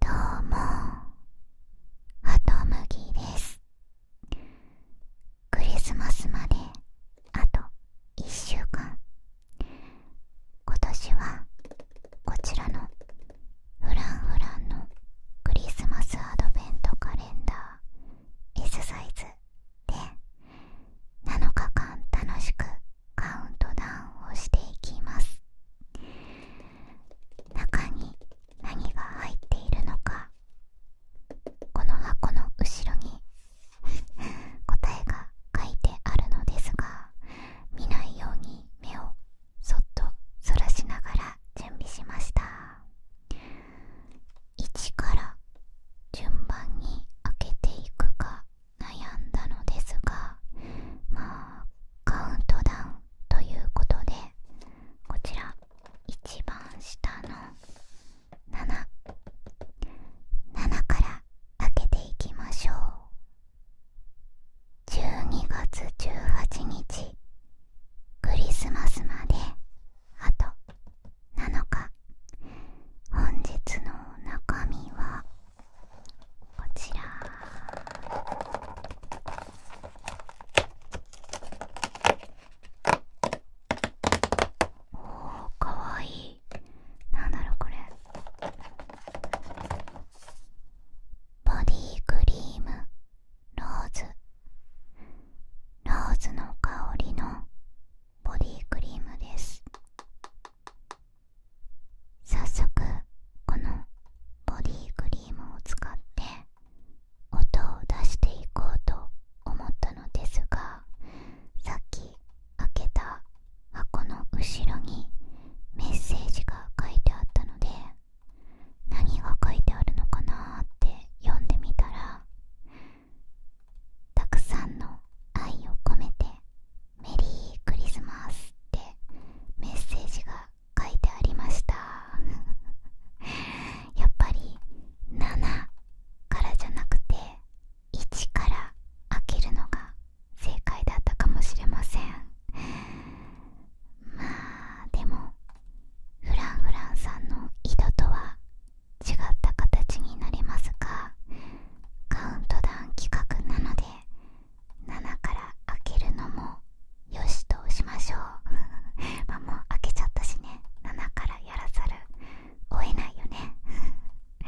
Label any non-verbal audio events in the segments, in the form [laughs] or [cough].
どうもハトムギですクリスマスまであと1週間今年はこちらのフランフランのクリスマスアドベントカレンダー S サイズで7日間楽しくカウントダウンをしていきます中に何が入っているのかこの箱の後ろに [laughs] 答えが書いてあるのですが見ないように目をそっとそらしながら準備しました1から順番に開けていくか悩んだのですがまあカウントダウンということでこちら一番下の77から開けていきましょう12月18日クリスマスまであと7日本日の中身はこちらおおかわいいなんだろうこれボディクリームローズローズの香りのボディクリームです早速このボディクリームを使って音を出していこうと思ったのですがさっき開けた箱の後ろにメッセージが書いてあったので何が書いてあるのかなって読んでみたらたくさんの愛を込めてメリークリスマスってメッセージが書いてありました [laughs] やっぱり7からじゃなくて1から開けるのが正解だったかもしれませんまあでもフランフランさんの井戸とは違った形になりますがカウントダウン企画なので7から開けるのもよしとしましょう [laughs] まあもう開けちゃったしね7からやらざるをえないよね [laughs]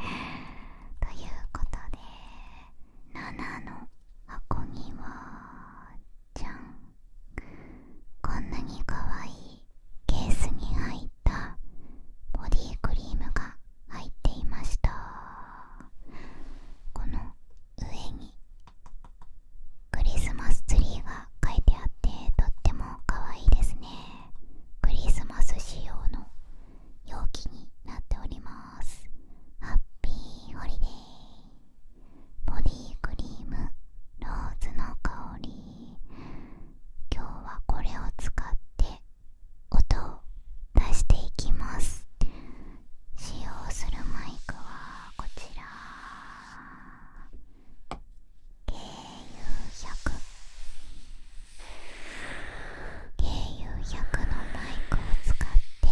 ということで7の箱にはじゃんこんなに可愛いケースに入ったボディクリームが入っていましたこの上にクリスマスツリーが描いてあってとっても可愛いですねクリスマス仕様の容器になっておりますハッピーホリデーボディクリームローズの香り今日はこれを使って音を出していきます使用するマイクはこちら KU100 KU100 のマイクを使って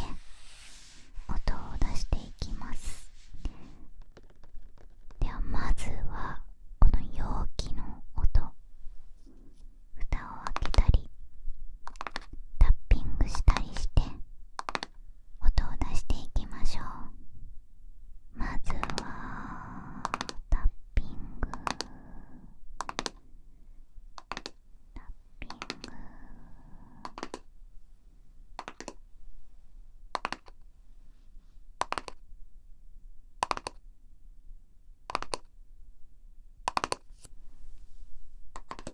音を出していきますではまずはこの容器の音2たりタッしたりして音を出していきましょうまずはタッピングタッピングタッ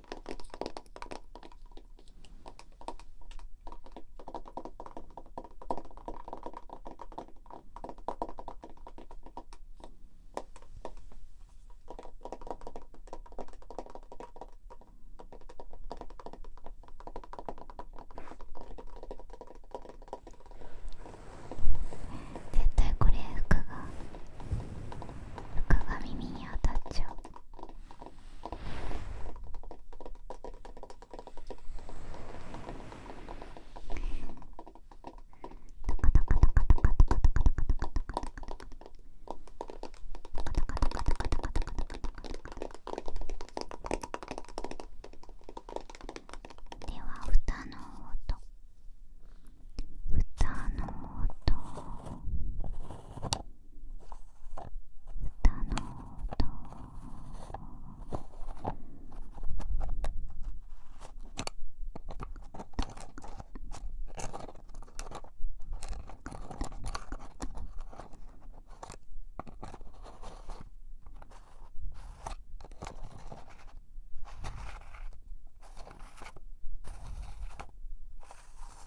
絶対これ服が服が耳に当たっちゃうでは蓋の音蓋の音歌の音。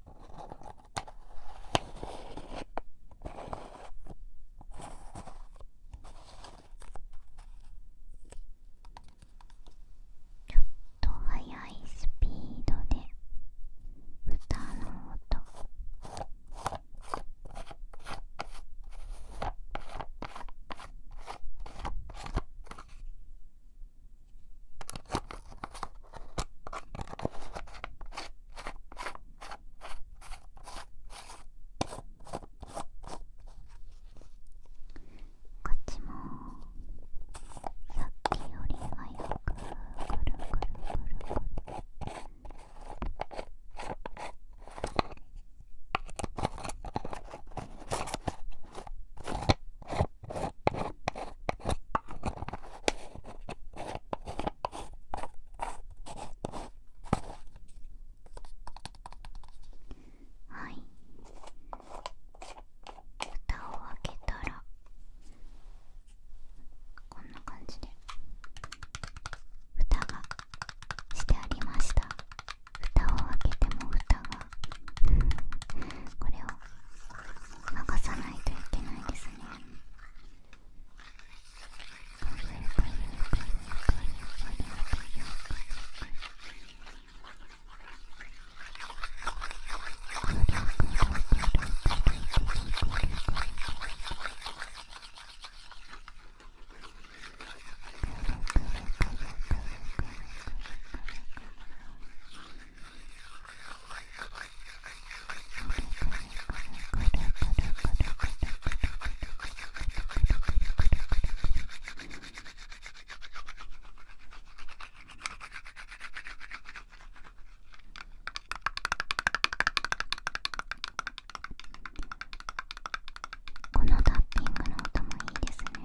ちょっと速いスピードで歌の音こっちもさっきより早くくるくるくるくる。こはい蓋を開けたらこんな感じで蓋がしてありました蓋を開けても蓋がこれを任さないといけないですねこのタッピングの音もいいですね。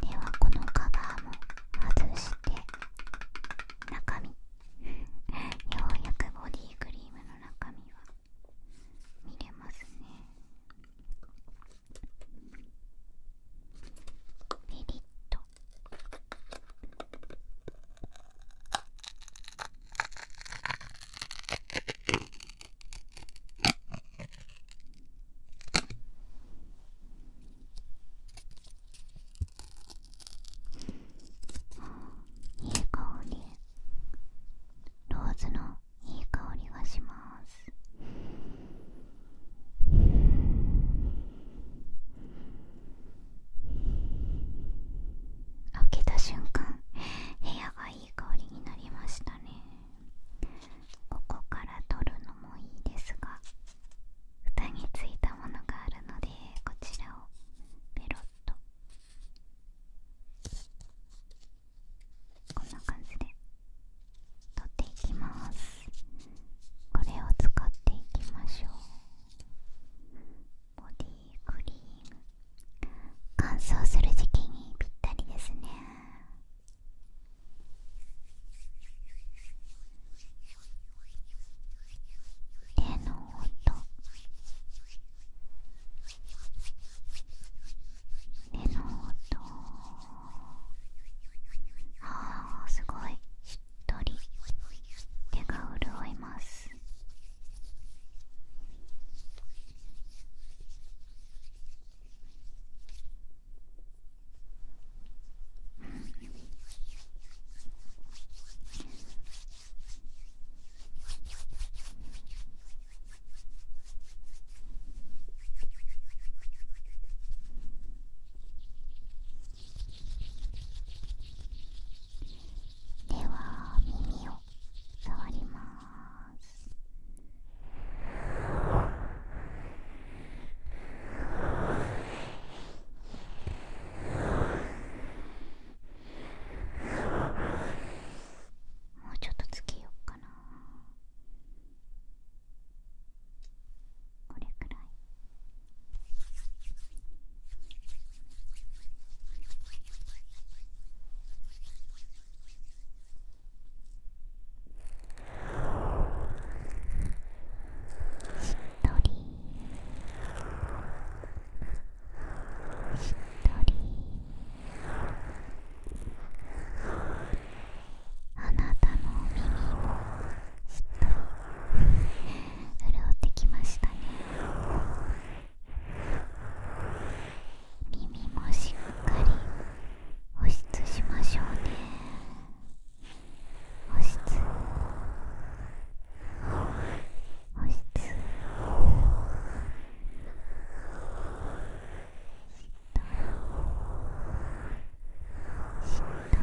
ではこのカバーも外して中身 [laughs] ようやくボディクリームの中身は見れますねメリッといい香りローズのいい香りがします開けた瞬間部屋がいい。いい香りになりましたねここから取るのもいいですが蓋についたものがあるのでこちらをペロッとこんな感じで取っていきますこれを使っていきましょうボディクリーム乾燥する時期にぴったりですね手の音手の音あーすごいしっとり手が潤いますでは耳を触りますもうちょっとつけようかなこれくらいしっとりしっとりあなたの耳もしっとり潤ってきましたね耳もしっかり保湿しましょうね保湿保湿しっとりしっとり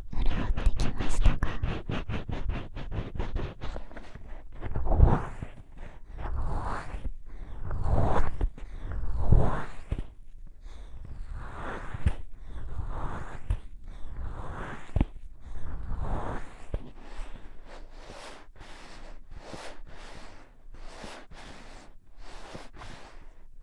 潤ってきましたか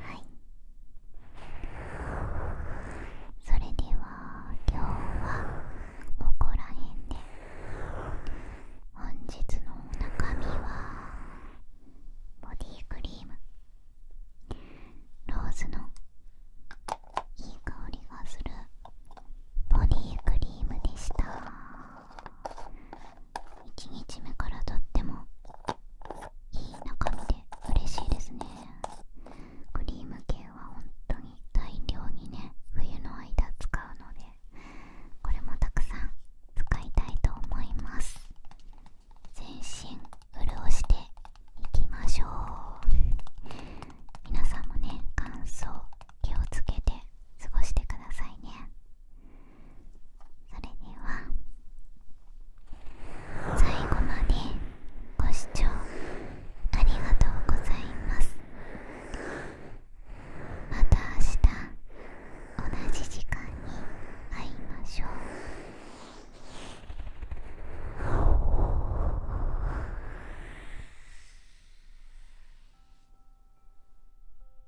はいそれでは今日はここら辺で本日の中身はボディクリームローズのいい香りがするボディクリームでした1日目からとってもいい中身で嬉しいですねクリーム系は本当に大量にね冬の間使うのでこれもたくさん使いたいと思います全身潤していきましょう皆さんもね乾燥気をつけて過ごしてくださいねそれでは最後までご視聴ありがとうございますまた明日同じ時間に会いましょう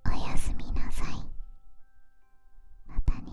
おやすみなさいまたね